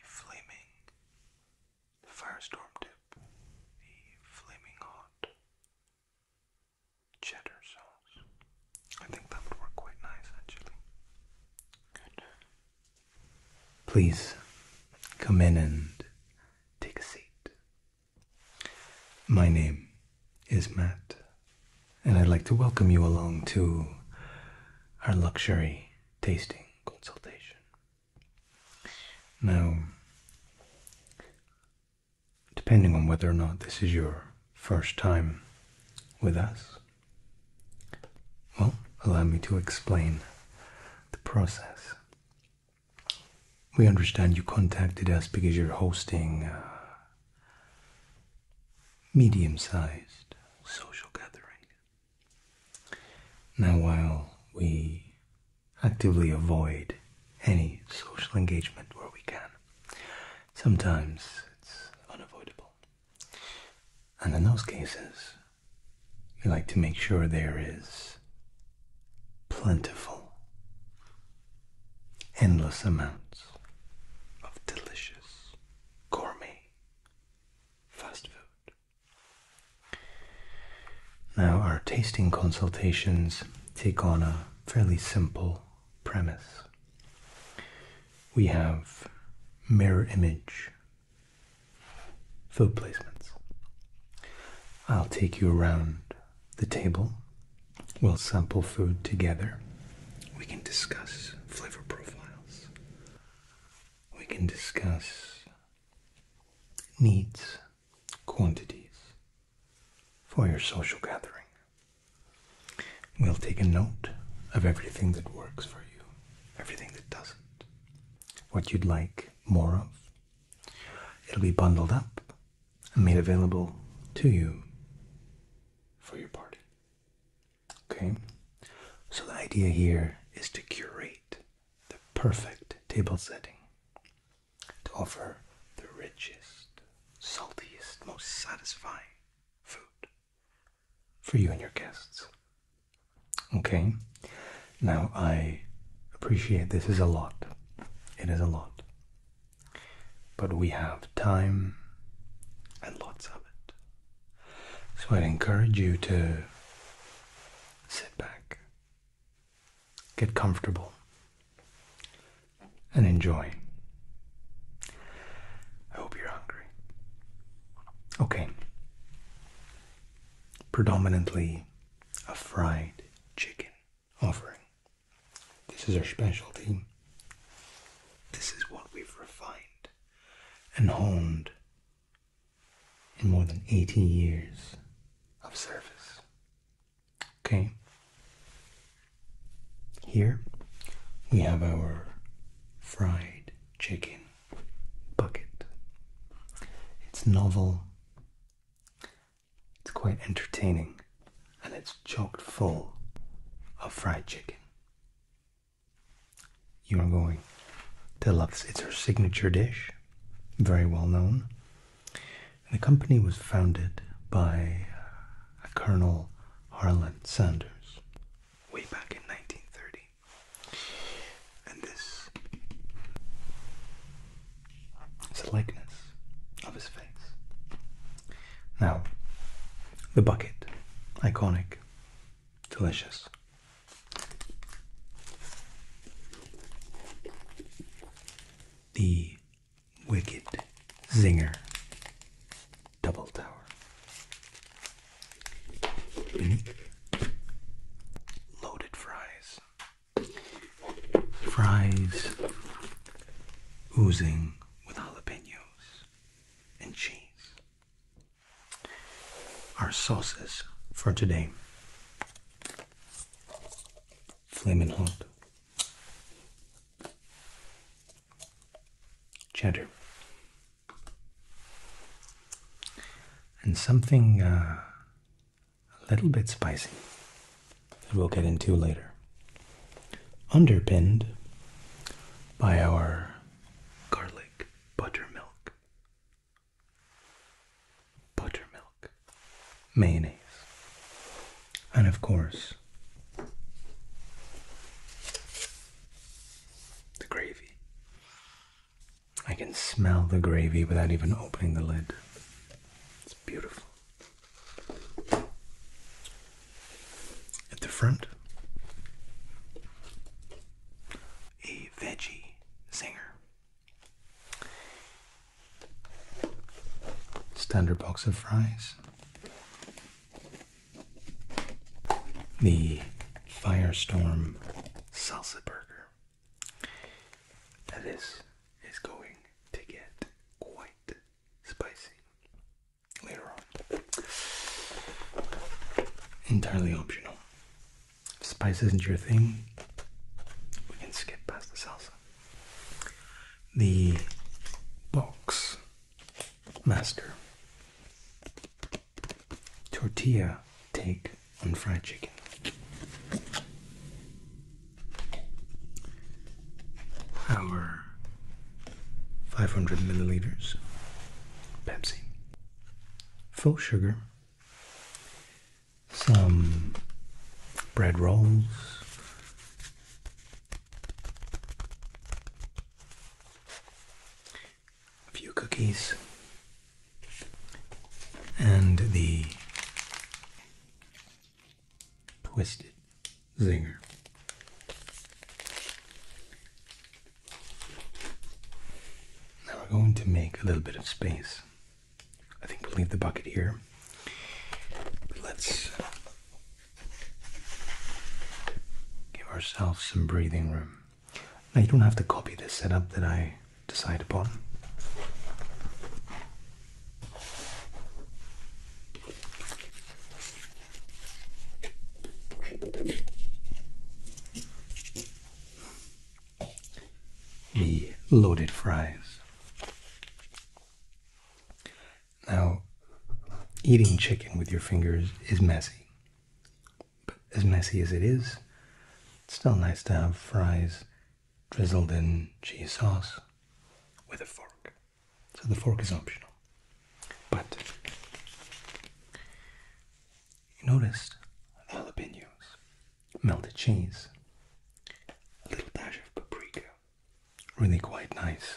the flaming, the firestorm dip, the flaming hot cheddar sauce. I think that would work quite nice actually. Good. Please come in and take a seat. My name is Matt, and I'd like to welcome you along to our luxury tasting consultation. Now, depending on whether or not this is your first time with us, well, allow me to explain the process. We understand you contacted us because you're hosting medium sized social gathering now, while we actively avoid any social engagement where we can, sometimes it's unavoidable. And in those cases, we like to make sure there is plentiful, endless amounts of delicious, gourmet fast food. Now, our tasting consultations take on a fairly simple premise. We have mirror image food placements. I'll take you around the table. We'll sample food together. We can discuss flavor profiles we can discuss needs, quantities for your social gathering. We'll take a note of everything that works for you, everything that doesn't, what you'd like more of. It'll be bundled up and made available to you for your party. Okay, so the idea here is to curate the perfect table setting to offer the richest, saltiest, most satisfying food for you and your guests. Okay, now I appreciate this is a lot, it is a lot, but we have time and lots of it. So I'd encourage you to sit back, get comfortable, and enjoy. I hope you're hungry. Okay. Predominantly a fried chicken offering. This is our specialty. This is what we've refined and honed in more than 80 years of service. Okay. Here we have our fried chicken bucket. It's novel, it's quite entertaining, and it's chocked full of fried chicken. You are going to love this. It's her signature dish, very well known. the company was founded by uh, Colonel Harlan Sanders way back in 1930. And this is a likeness of his face. Now, the bucket, iconic Delicious. The Wicked Zinger Double Tower. Loaded fries. Fries oozing with jalapenos and cheese our sauces for today. Flamin' hot. Cheddar. And something uh, a little bit spicy that we'll get into later. Underpinned by our garlic buttermilk buttermilk, mayonnaise, and of course, the gravy. I can smell the gravy without even opening the lid. It's beautiful. At the front, a veggie singer. Standard box of fries. The Firestorm Salsa Burger. That is is going to get quite spicy later on. Entirely optional. If spice isn't your thing, we can skip past the salsa. The box master tortilla take on fried chicken. Our 500 milliliters Pepsi, full sugar, some bread rolls. A few cookies and the twisted zinger. Now we're going to make a little bit of space. I think we'll leave the bucket here. But let's give ourselves some breathing room. Now you don't have to copy the setup that I decide upon the loaded fries. Now, eating chicken with your fingers is messy. But as messy as it is, it's still nice to have fries drizzled in cheese sauce with a fork. So the fork is optional. But you noticed jalapenos, melted cheese, a little dash of paprika. Really quite nice.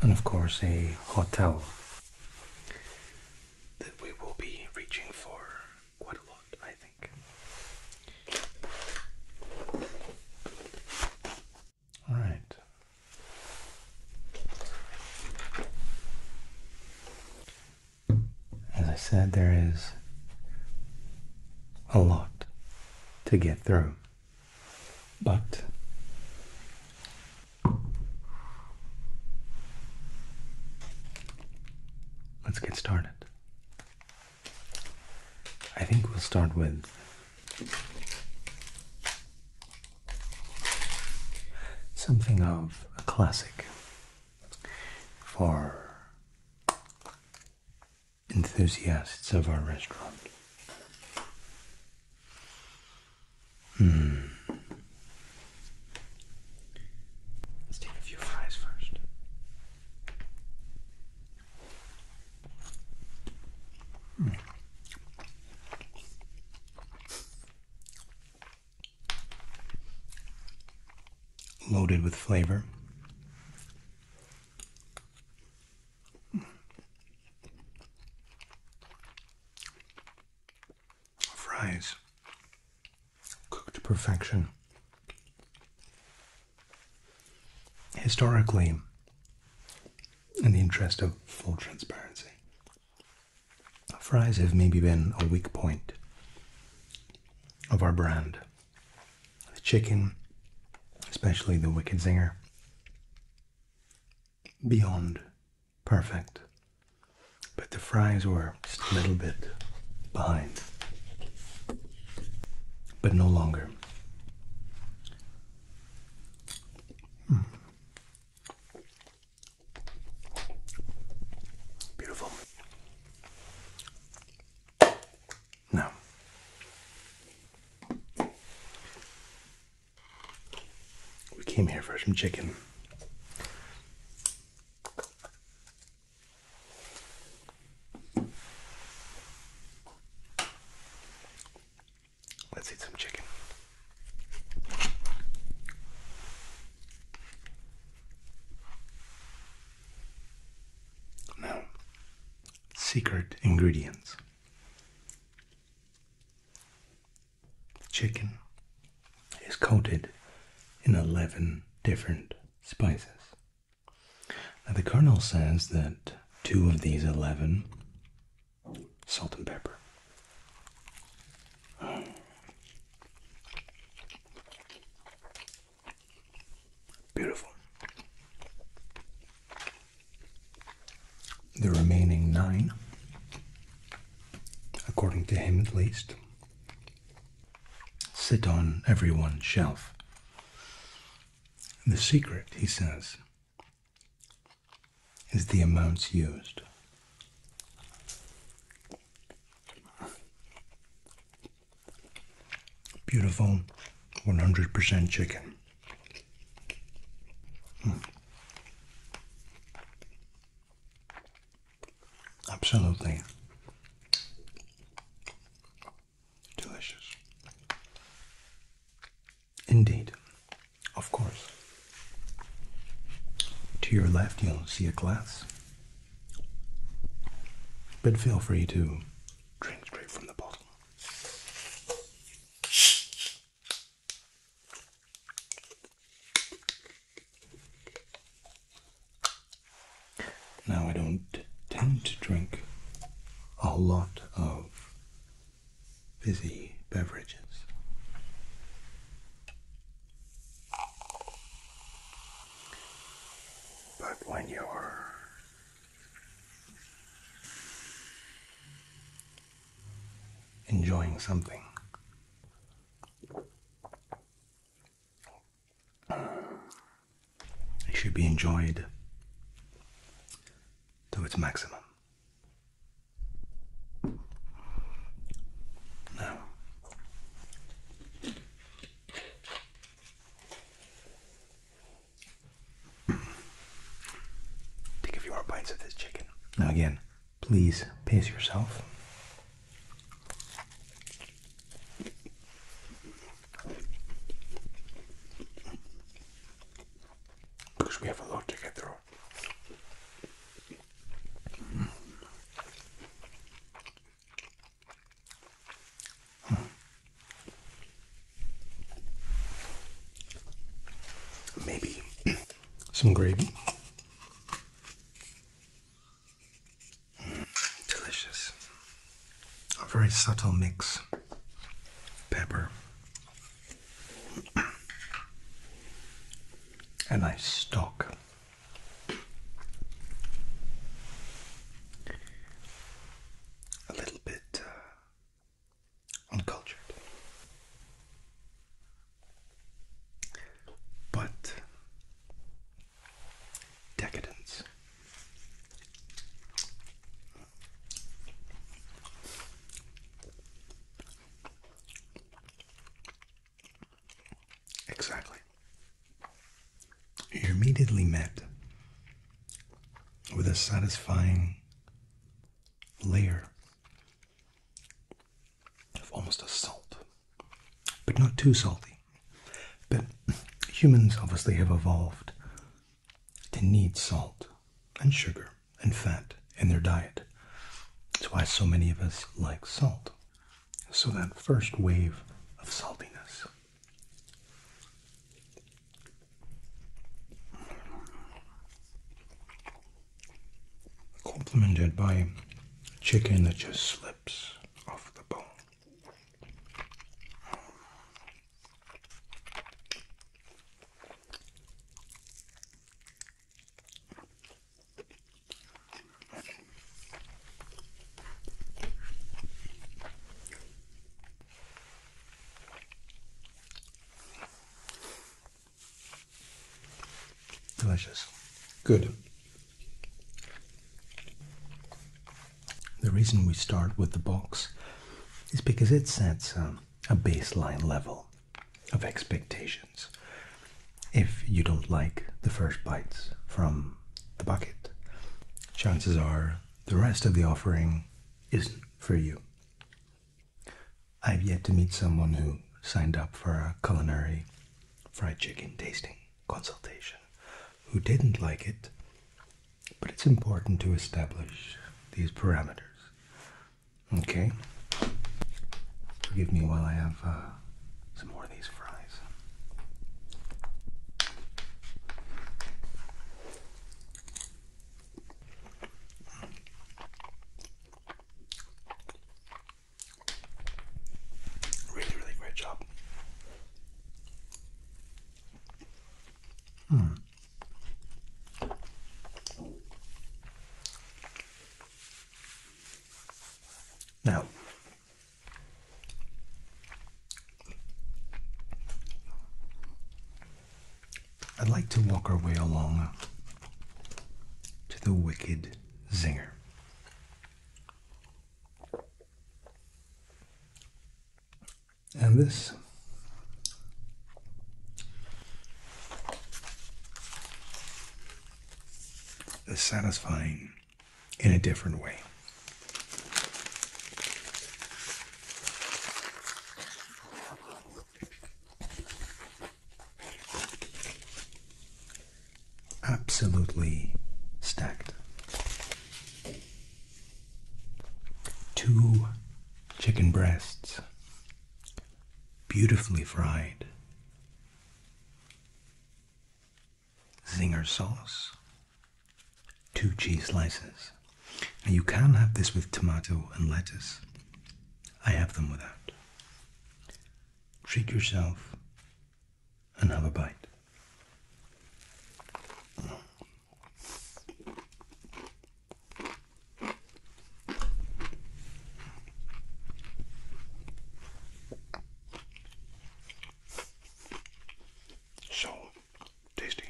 And of course, a hotel that we will be reaching for quite a lot, I think. All right. As I said, there is a lot to get through, but let's get started. I think we'll start with something of a classic for enthusiasts of our restaurant. Hmm. Let's take a few fries first. Loaded with flavor. Fries cooked to perfection historically, in the interest of full transparency, fries have maybe been a weak point of our brand. The chicken, especially the Wicked Zinger, beyond perfect. But the fries were just a little bit behind. But no longer. Beautiful. Now, we came here for some chicken. Let's eat some chicken. Now, secret ingredients The chicken is coated in 11 different spices now, the Colonel says that two of these 11 salt and pepper. Beautiful. The remaining nine, according to him at least, sit on everyone's shelf the secret, he says, is the amounts used. Beautiful 100% chicken. Hmm. Absolutely Delicious. Indeed. Of course. To your left, you'll see a glass. But feel free to drink straight from the bottle. Now, I don't tend to drink a lot of Busy beverages. But when you're enjoying something, it should be enjoyed to its maximum. Now, take a few more bites of this chicken. Now, again, please pace yourself because we have a lot to get through. Maybe some gravy. delicious a very subtle mix. Pepper. and nice stock. A little bit uh, uncultured. But decadence. Exactly. You're immediately met with a satisfying layer of almost a salt, but not too salty. But humans obviously have evolved to need salt and sugar and fat in their diet. That's why so many of us like salt. So, that first wave of saltiness. Complemented by chicken that just slips off the bone. Delicious. Good. The reason we start with the box is because it sets a baseline level of expectations. If you don't like the first bites from the bucket, chances are the rest of the offering isn't for you. I've yet to meet someone who signed up for a culinary fried chicken tasting consultation who didn't like it but it's important to establish these parameters. Okay? Forgive me while I have uh, some more of these fries. Really, really great job. Hmm. Now, I'd like to walk our way along to the wicked zinger and this. is satisfying in a different way. Absolutely stacked. Two chicken breasts, beautifully fried. Zinger sauce, two cheese slices. Now you can have this with tomato and lettuce. I have them without. Treat yourself and have a bite. So tasty.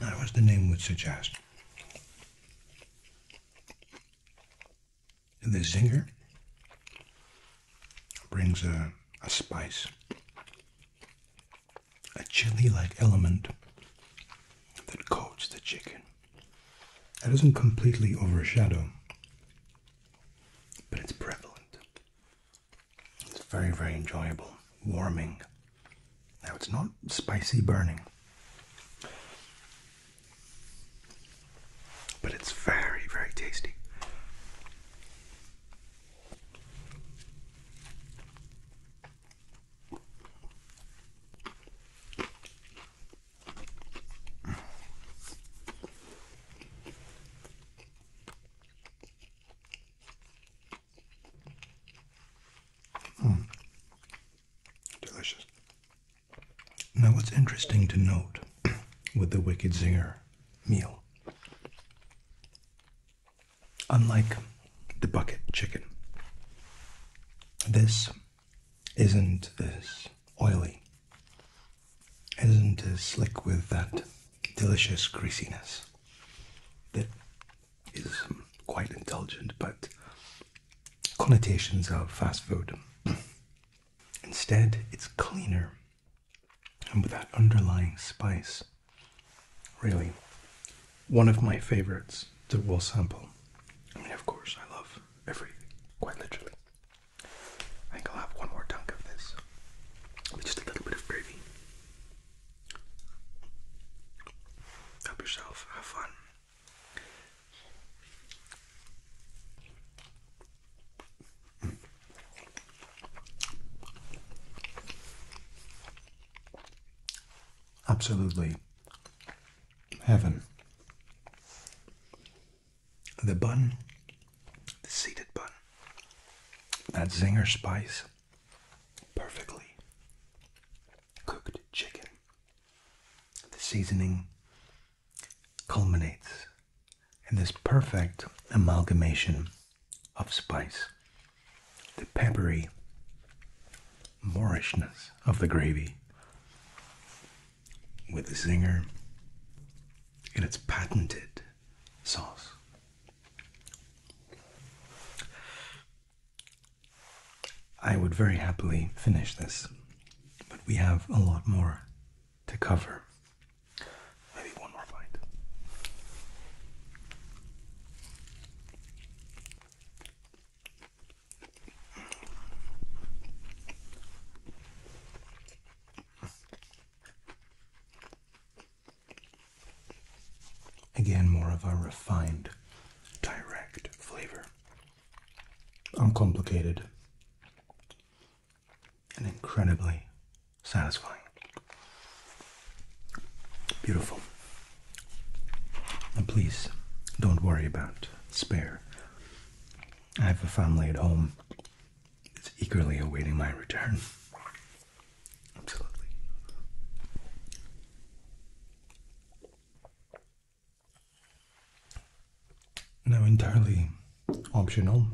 Now, as the name would suggest, the zinger brings a, a spice, a chili like element that coats the chicken. That doesn't completely overshadow, but it's prevalent. It's very, very enjoyable, warming. Now, it's not spicy burning. But it's very, very tasty. Mm. Delicious. Now, what's interesting to note with the Wicked Zinger meal, unlike the bucket chicken, this isn't as oily, isn't as slick with that delicious greasiness that is quite indulgent but connotations of fast food. Instead, it's cleaner and with that underlying spice. Really, one of my favorites to will sample. I mean, of course, I love everything, quite literally. I think I'll have one more dunk of this with just a little bit of gravy. Help yourself, have fun. Absolutely. Heaven. The bun, the seeded bun, that zinger spice, perfectly cooked chicken, the seasoning, culminates in this perfect amalgamation of spice. The peppery Moorishness of the gravy with the zinger in its patented sauce. I would very happily finish this but we have a lot more to cover. Maybe one more bite. Again, more of a refined, direct flavor. Uncomplicated, and incredibly satisfying. Beautiful. And please don't worry about spare. I have a family at home that's eagerly awaiting my return. Absolutely. Now, entirely optional,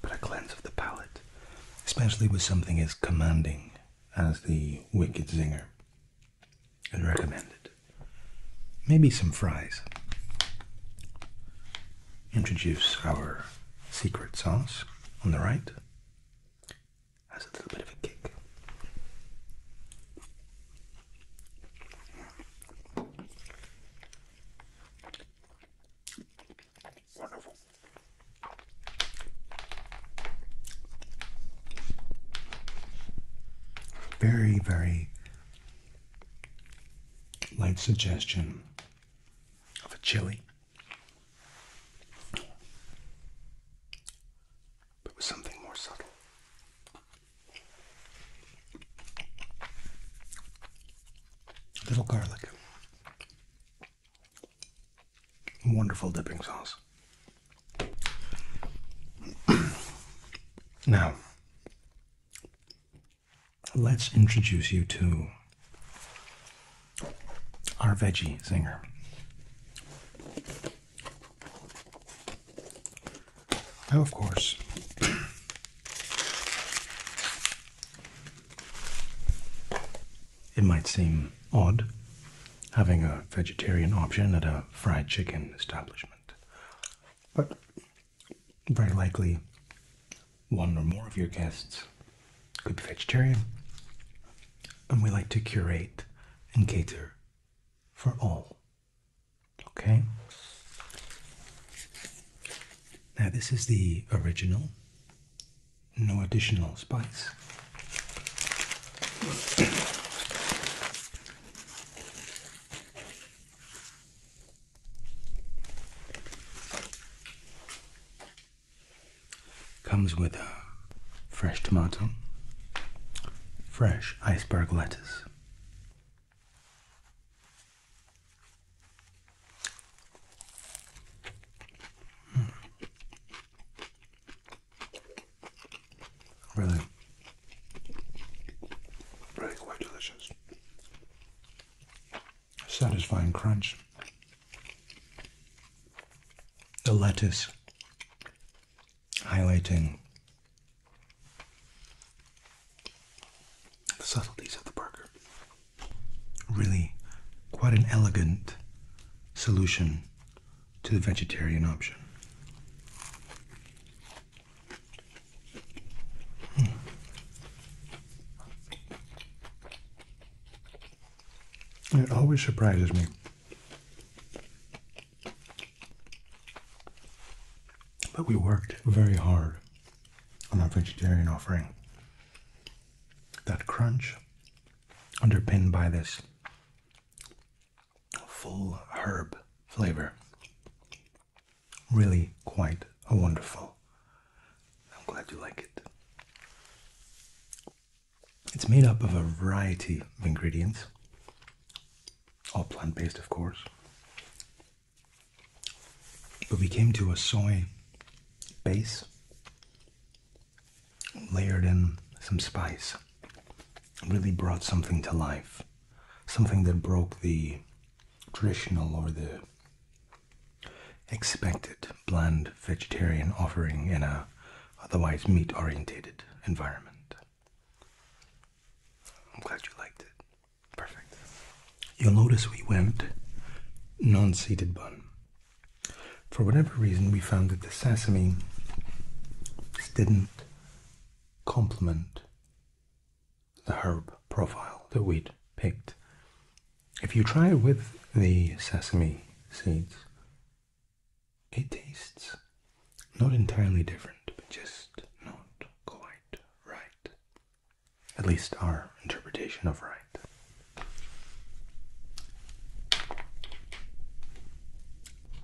but a cleanse of the palate, especially with something as commanding as the Wicked Zinger, is recommended. Maybe some fries. Introduce our secret sauce on the right. Has a little bit of a kick. Wonderful. Very, very light suggestion of a chili, but with something more subtle. A little garlic. Wonderful dipping sauce. now, let's introduce you to our veggie zinger. Now, of course, it might seem odd having a vegetarian option at a fried chicken establishment, but very likely one or more of your guests could be vegetarian, and we like to curate and cater for all Okay. Now, this is the original, no additional spice. Comes with a fresh tomato, fresh iceberg lettuce, Really, really quite delicious. Satisfying crunch. The lettuce highlighting the subtleties of the burger. Really, quite an elegant solution to the vegetarian option. Hmm. It always surprises me but we worked very hard on our vegetarian offering. That crunch, underpinned by this full herb flavor, really quite a wonderful. I'm glad you like it. It's made up of a variety of ingredients, all plant based, of course. But we came to a soy base layered in some spice. Really brought something to life. Something that broke the traditional or the expected bland vegetarian offering in a otherwise meat orientated environment. I'm glad you liked it. Perfect. You'll notice we went non seeded bun. For whatever reason, we found that the sesame didn't complement the herb profile that we'd picked. If you try it with the sesame seeds, it tastes not entirely different, but just not quite right. At least our interpretation of right.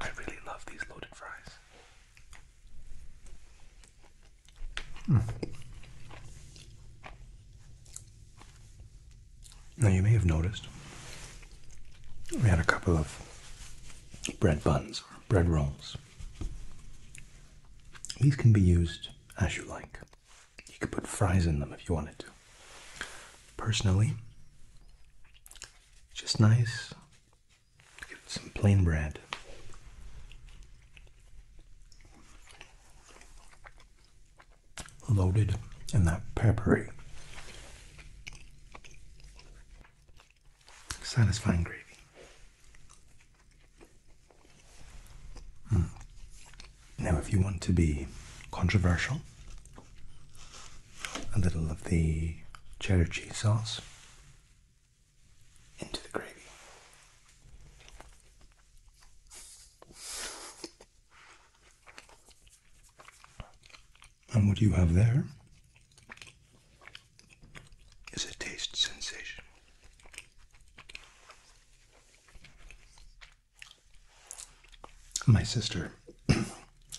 I really love these loaded fries. Hmm. Now, you may have noticed we had a couple of bread buns or bread rolls these can be used as you like. You could put fries in them if you wanted to. Personally, just nice. Give some plain bread. Loaded and that peppery. Satisfying gravy. Hmm. Now, if you want to be controversial, a little of the cheddar cheese sauce into the gravy. And what do you have there? is a taste sensation. My sister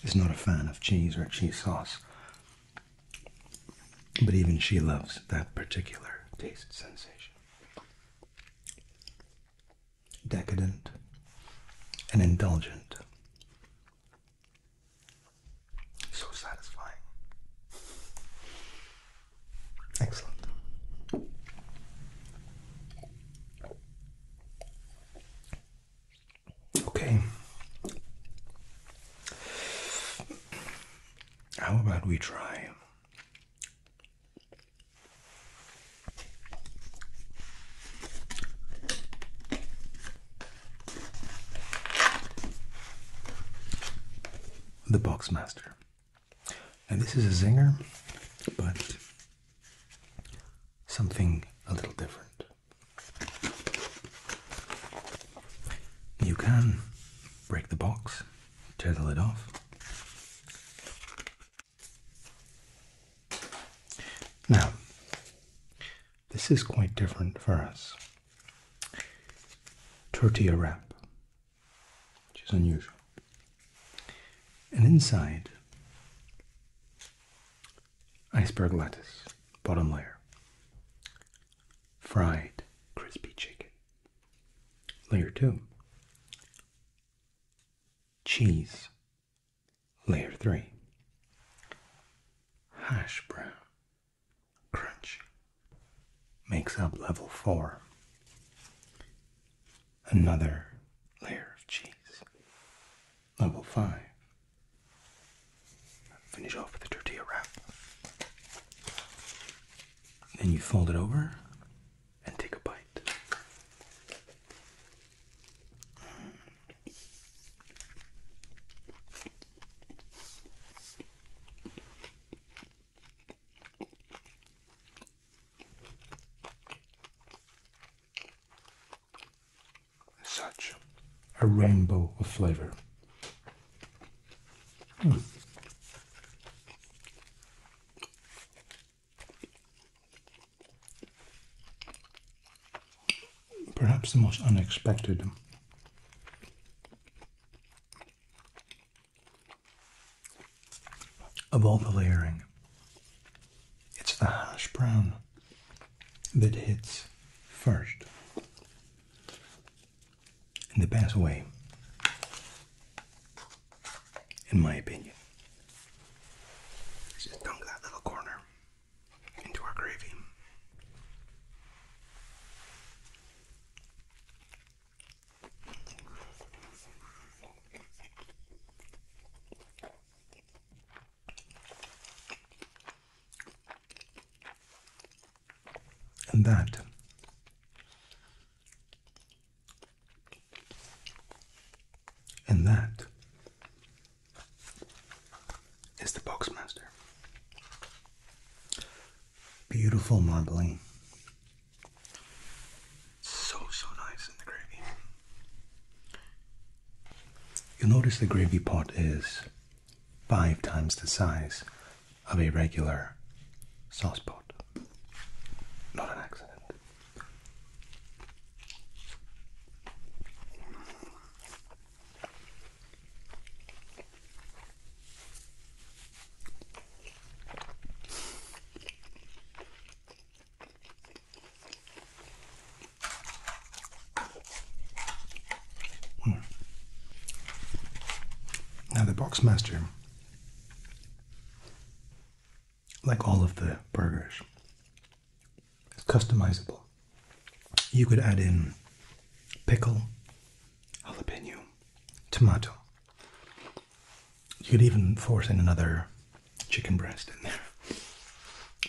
is not a fan of cheese or cheese sauce, but even she loves that particular taste sensation. Decadent and indulgent. So satisfying. Excellent. Okay. How about we try the Boxmaster. And this is a zinger, but something a little different. You can break the box, tear the lid off. Now, this is quite different for us tortilla wrap, which is unusual. And inside, iceberg lettuce, bottom layer, fried crispy chicken, layer two, cheese, layer three, hash brown, Crunch makes up level four. Another layer of cheese. Level five. Finish off with a tortilla wrap. Then you fold it over and take a bite. Such a rainbow of flavor perhaps the most unexpected. Of all the layering, it's the harsh brown that hits first in the best way, in my opinion. just dunk that little corner into our gravy. And that and that is the Boxmaster. Beautiful marbling. So, so nice in the gravy. You'll notice the gravy pot is five times the size of a regular saucepot. Not an accident. Hmm. Now, the Boxmaster, like all of the burgers, is customizable. You could add in pickle, jalapeno, tomato. You could even force in another chicken breast in there.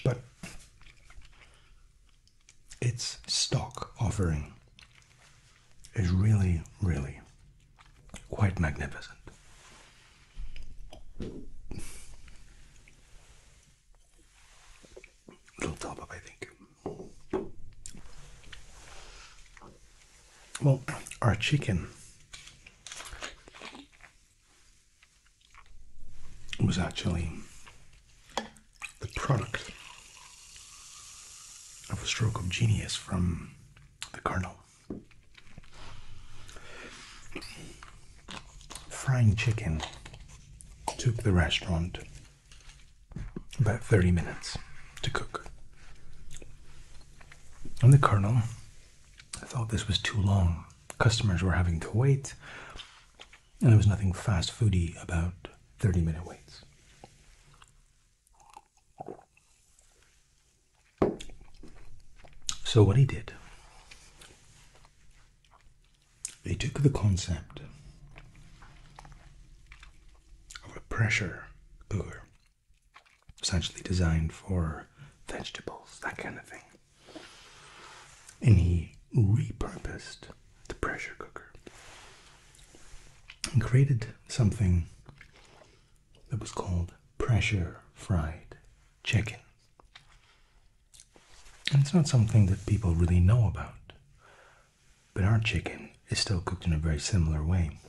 But its stock offering is really, really quite magnificent. Little top up, I think. Well, our chicken was actually the product of a stroke of genius from the Colonel. Frying chicken took the restaurant about 30 minutes to cook. And the colonel thought this was too long. Customers were having to wait, and there was nothing fast foody about 30 minute waits. So, what he did they took the concept of a pressure cooker, essentially designed for vegetables, that kind of thing, and he repurposed the pressure cooker and created something that was called pressure fried chicken. And it's not something that people really know about. But our chicken is still cooked in a very similar way.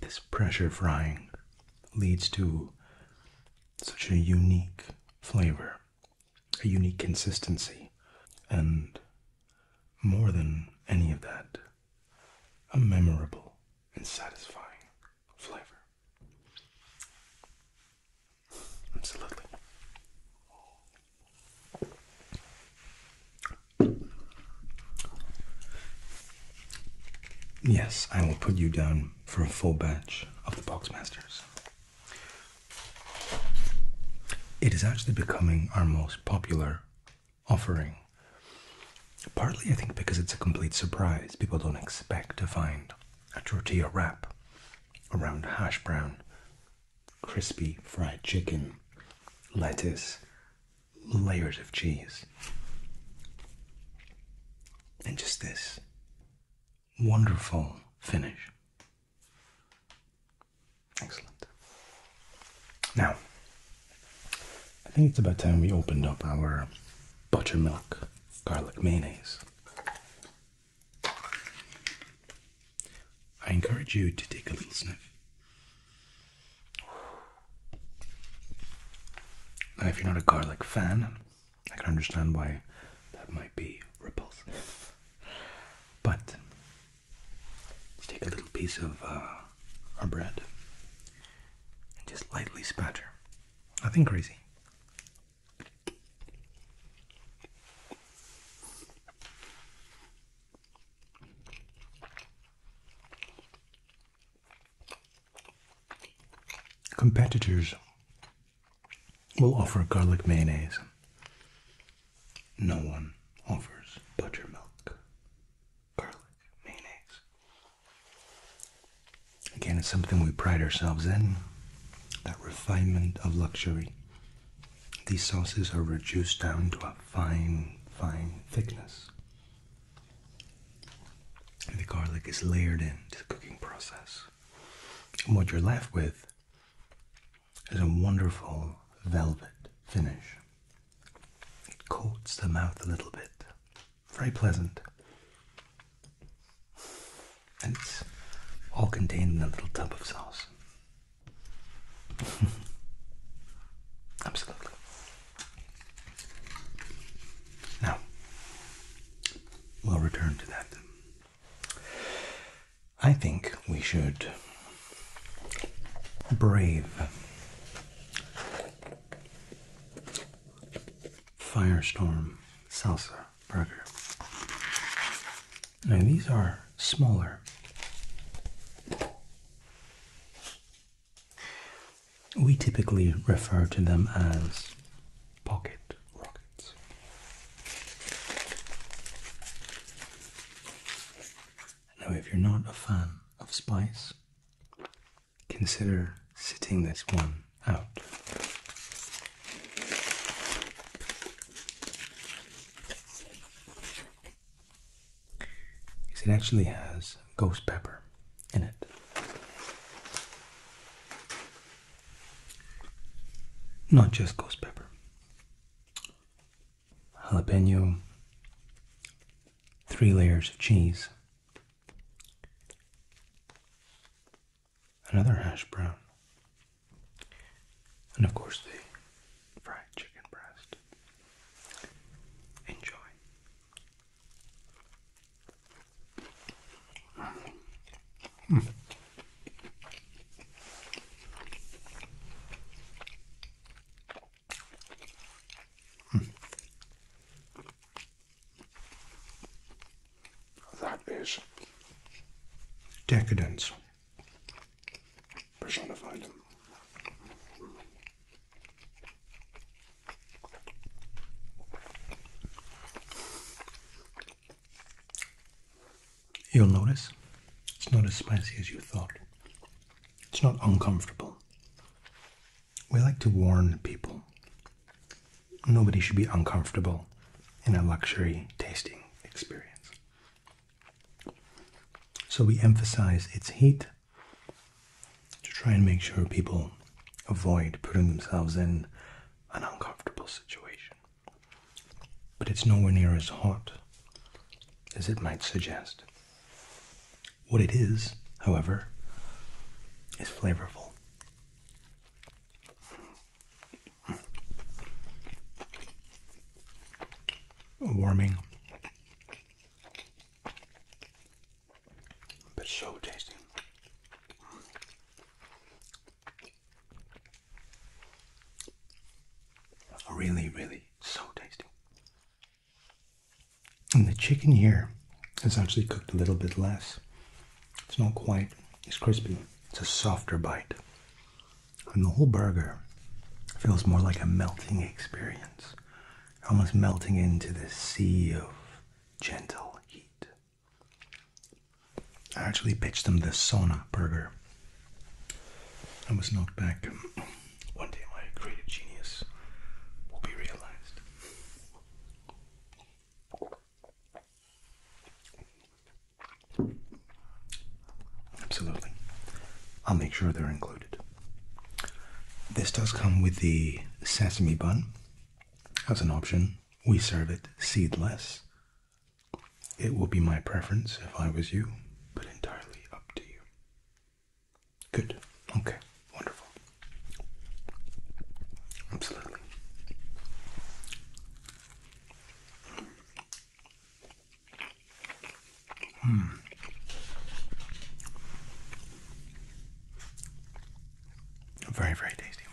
This pressure frying leads to such a unique flavor, a unique consistency, and more than any of that, a memorable and satisfying flavor. Absolutely. Yes, I will put you down for a full batch of the Boxmasters. It is actually becoming our most popular offering. Partly, I think, because it's a complete surprise. People don't expect to find a tortilla wrap around hash brown crispy fried chicken, lettuce, layers of cheese, and just this wonderful finish. Excellent. Now, I think it's about time we opened up our buttermilk garlic mayonnaise. I encourage you to take a little sniff. And if you're not a garlic fan, I can understand why that might be repulsive. But let's take a little piece of uh, our bread and just lightly spatter. Nothing crazy. Competitors will offer garlic mayonnaise. No one offers buttermilk garlic mayonnaise. Again, it's something we pride ourselves in that refinement of luxury these sauces are reduced down to a fine, fine thickness. the garlic is layered into the cooking process. And what you're left with is a wonderful velvet finish. It coats the mouth a little bit. Very pleasant. And it's all contained in a little tub of sauce. Absolutely. Now, we'll return to that. I think we should brave Firestorm Salsa Burger now these are smaller. We typically refer to them as pocket rockets. Now, if you're not a fan of spice, consider sitting this one out. Because it actually has ghost pepper in it. Not just ghost pepper. Jalapeno, three layers of cheese, another hash brown, and of course, the fried chicken breast. Enjoy. Hmm. Hmm. That is decadence personified him. You'll notice it's not as spicy as you thought. It's not uncomfortable. We like to warn people. Nobody should be uncomfortable in a luxury tasting experience. So we emphasize its heat to try and make sure people avoid putting themselves in an uncomfortable situation. But it's nowhere near as hot as it might suggest. What it is, however, is flavorful warming, but so tasty. Really, really so tasty. And the chicken here is actually cooked a little bit less. It's not quite It's crispy. It's a softer bite. And the whole burger feels more like a melting experience. Almost melting into this sea of gentle heat. I actually pitched them the sauna burger. I was knocked back. One day my creative genius will be realized. Absolutely. I'll make sure they're included. This does come with the sesame bun as an option. We serve it seedless. It will be my preference if I was you, but entirely up to you. Good. Okay. Wonderful. Absolutely. Hmm. Very, very tasty.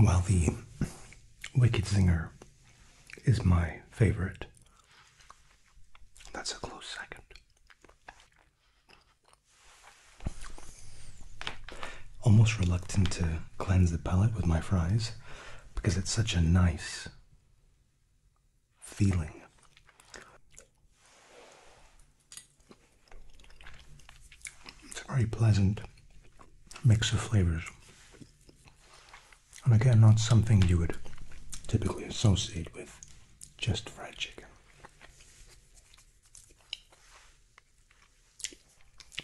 While the Wicked singer is my favorite, that's a close second. Almost reluctant to cleanse the palate with my fries because it's such a nice feeling. It's a very pleasant mix of flavors. And again, not something you would typically associate with just fried chicken.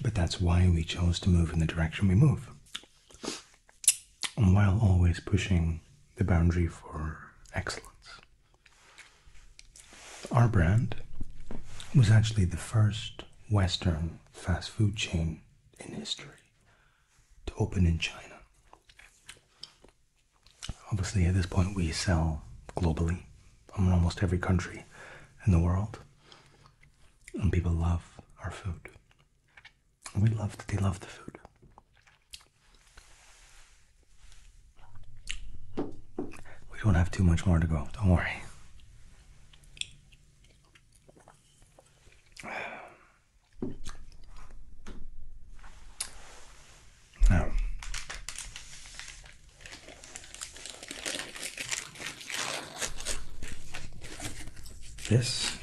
But that's why we chose to move in the direction we move. While always pushing the boundary for excellence. Our brand was actually the first Western fast food chain in history to open in China. Obviously, at this point, we sell globally in almost every country in the world. And people love our food. we love that they love the food. We don't have too much more to go, don't worry. Now, this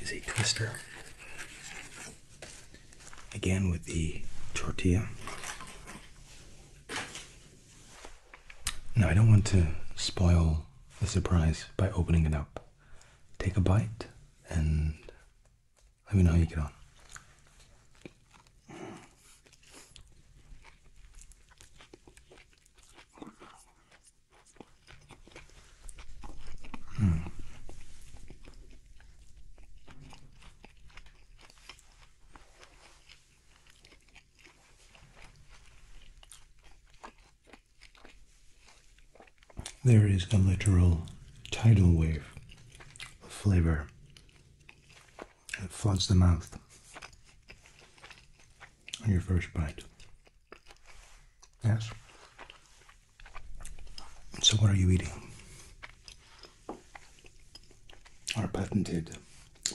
is a twister. Again with the tortilla. Now, I don't want to spoil the surprise by opening it up. Take a bite and let me know how you get on. There is a literal tidal wave of flavor it floods the mouth on your first bite. Yes? So, what are you eating? Our patented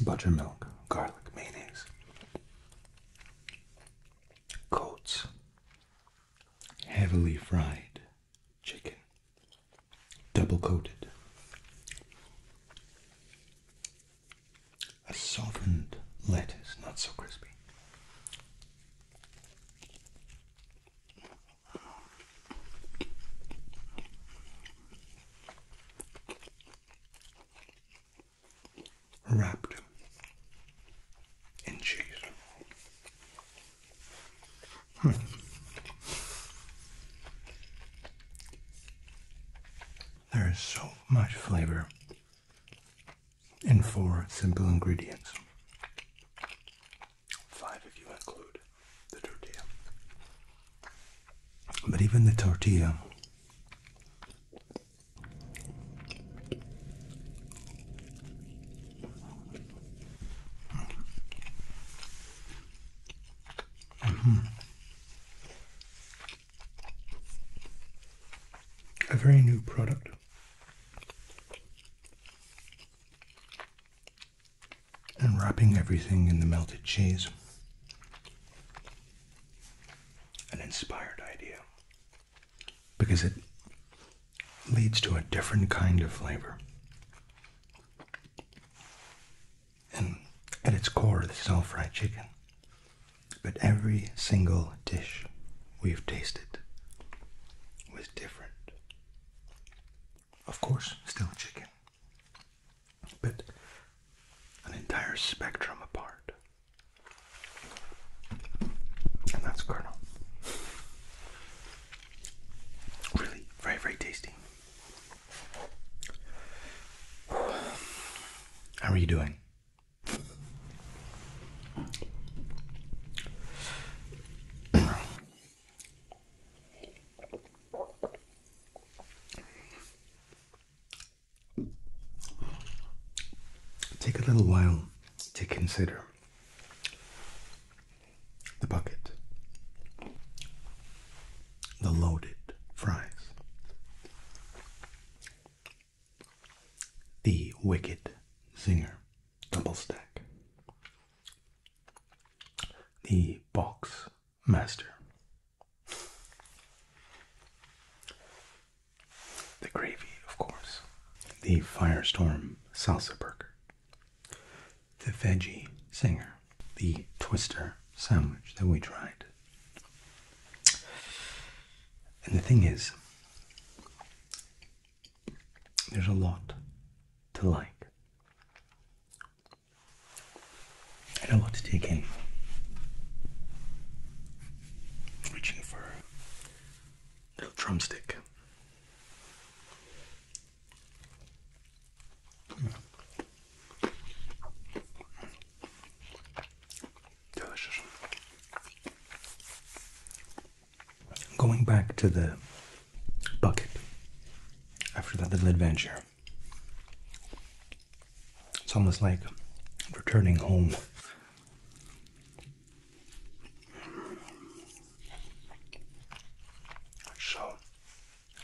buttermilk, garlic mayonnaise, coats, heavily fried chicken double coated, a softened lettuce, not so crispy. Wrapped in cheese. Hmm. There is so much flavor in four simple ingredients. Five if you include the tortilla. But even the tortilla a very new product. And wrapping everything in the melted cheese. An inspired idea. Because it leads to a different kind of flavor and at its core, this is all fried chicken. But every single dish we've tasted was different. Of course, still chicken, but an entire spectrum apart. And that's Colonel. Really, very, very tasty. How are you doing? Take a little while to consider the bucket the loaded fries. The Wicked Zinger Double Stack. The Box Master. The gravy, of course. The Firestorm Salsa Burger the veggie singer, the twister sandwich that we tried. And the thing is, there's a lot to like and a lot to take in. Reaching for little drumstick. Going back to the bucket after that little adventure, it's almost like returning home. So,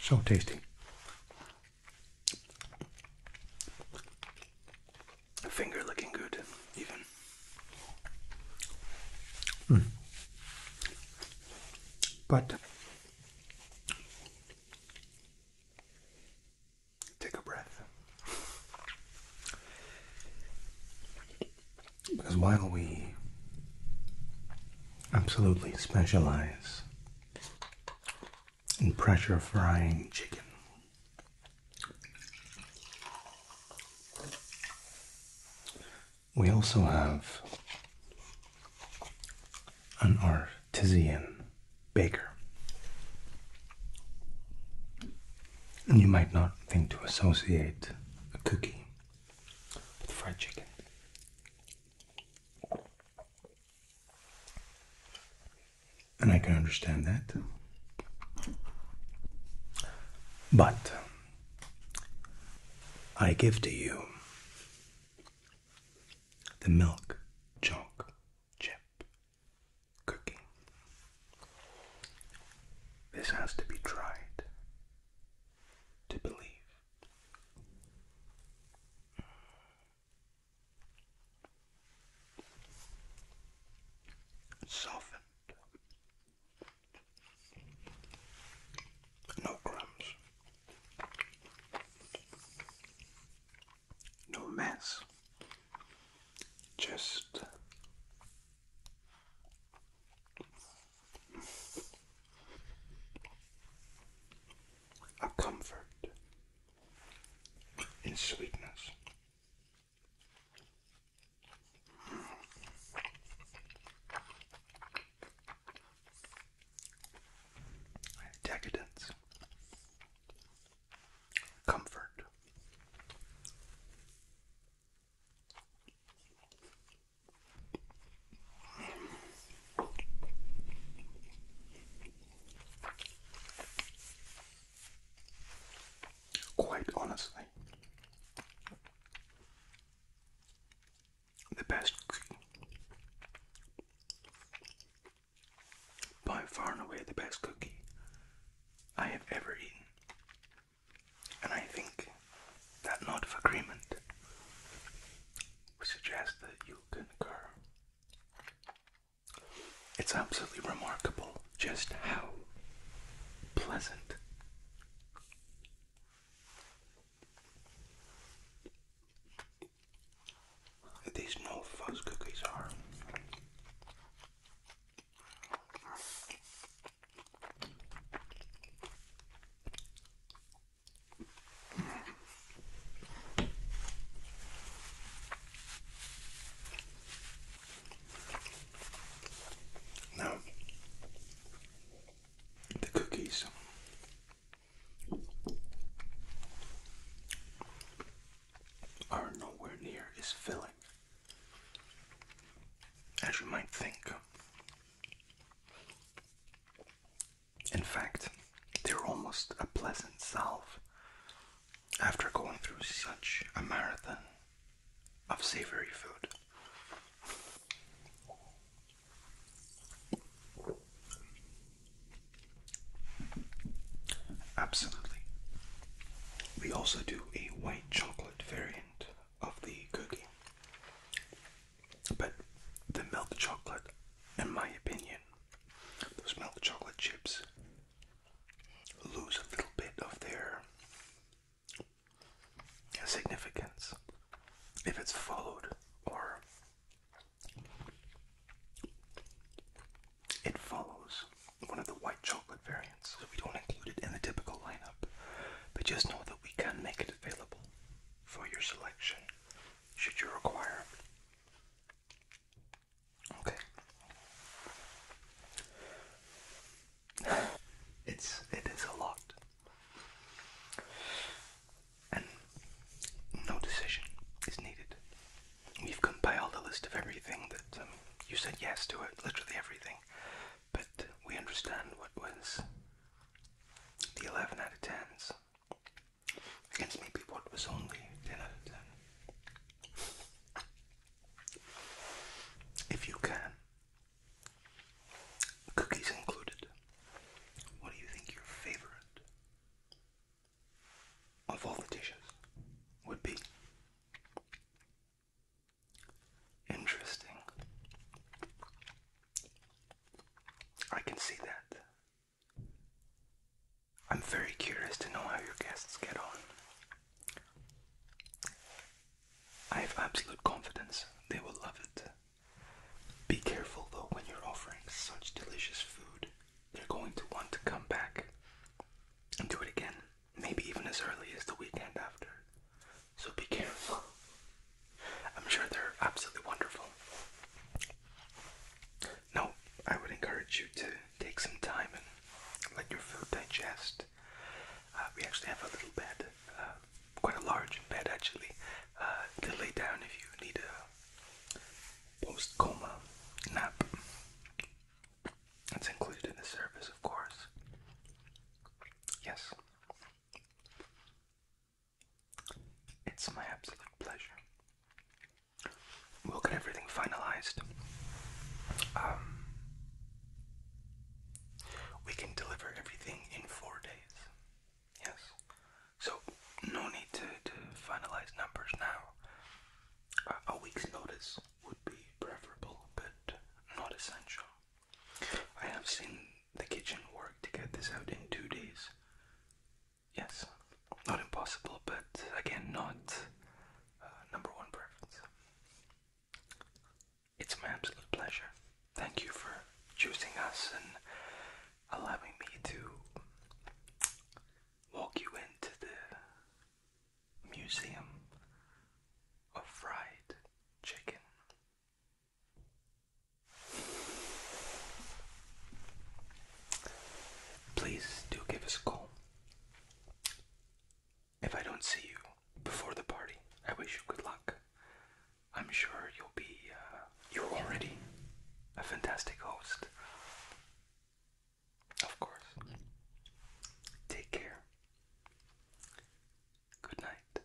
so tasty. Finger looking good, even. Hmm. But take a breath. Because while we absolutely specialize and pressure frying chicken. We also have an artisan baker. And you might not think to associate a cookie with fried chicken. And I can understand that. But I give to you the milk choc, chip cookie. This has to be tried to believe. Softened. No crumbs. No mess. Just a comfort in sweetness. Decadence, comfort, Quite honestly, the best By far and away the best cookie I have ever eaten. And I think that nod of agreement we suggest that you concur. It's absolutely remarkable just how pleasant these no fuzz cookies are. Now, the cookies. Are nowhere near as filling as you might think. In fact, they're almost a pleasant salve after going through such a marathon of savory food. Absolutely. We also do a white chocolate variant of the cookie. But the milk chocolate, in my opinion, those milk chocolate chips lose a little bit of their significance if it's followed or it follows one of the white chocolate variants, so we don't include it in the typical lineup. But just know that we can make it available for your selection should you require. Okay. It's it is a lot. And no decision is needed. We've compiled a list of everything that um, you said yes to it, literally everything. But we understand what was the 11 out of 10s, against maybe what was only 10 If you can, cookies included, what do you think your favorite of all the dishes would be? Interesting. I can see that I'm very curious to know how your guests get on. I have absolute confidence they will love it. Be careful though when you're offering such delicious food. They're going to want to come back and do it again, maybe even as early as the weekend after. So be careful. I'm sure they're absolutely wonderful. No, I would encourage you to take some time and let your food digest. Uh, we actually have a little bed, uh, quite a large bed actually, uh, to lay down if you need a post coma nap. That's included in the service, of course. Yes. It's my absolute pleasure. We'll get everything finalized. Um, we can deliver everything in four days. Yes. So, no need to, finalize numbers now. a week's notice would be preferable, but not essential. I have seen the kitchen work to get this out in two days. Yes, not impossible, but again, not uh, number one preference. It's my absolute pleasure. Thank you for choosing us and allowing me to walk you into the museum of fried chicken. Please do give us a call. If I don't see you before the party, I wish you good luck. I'm sure you'll be, uh, you're already a fantastic host. Of course. Take care. Good night.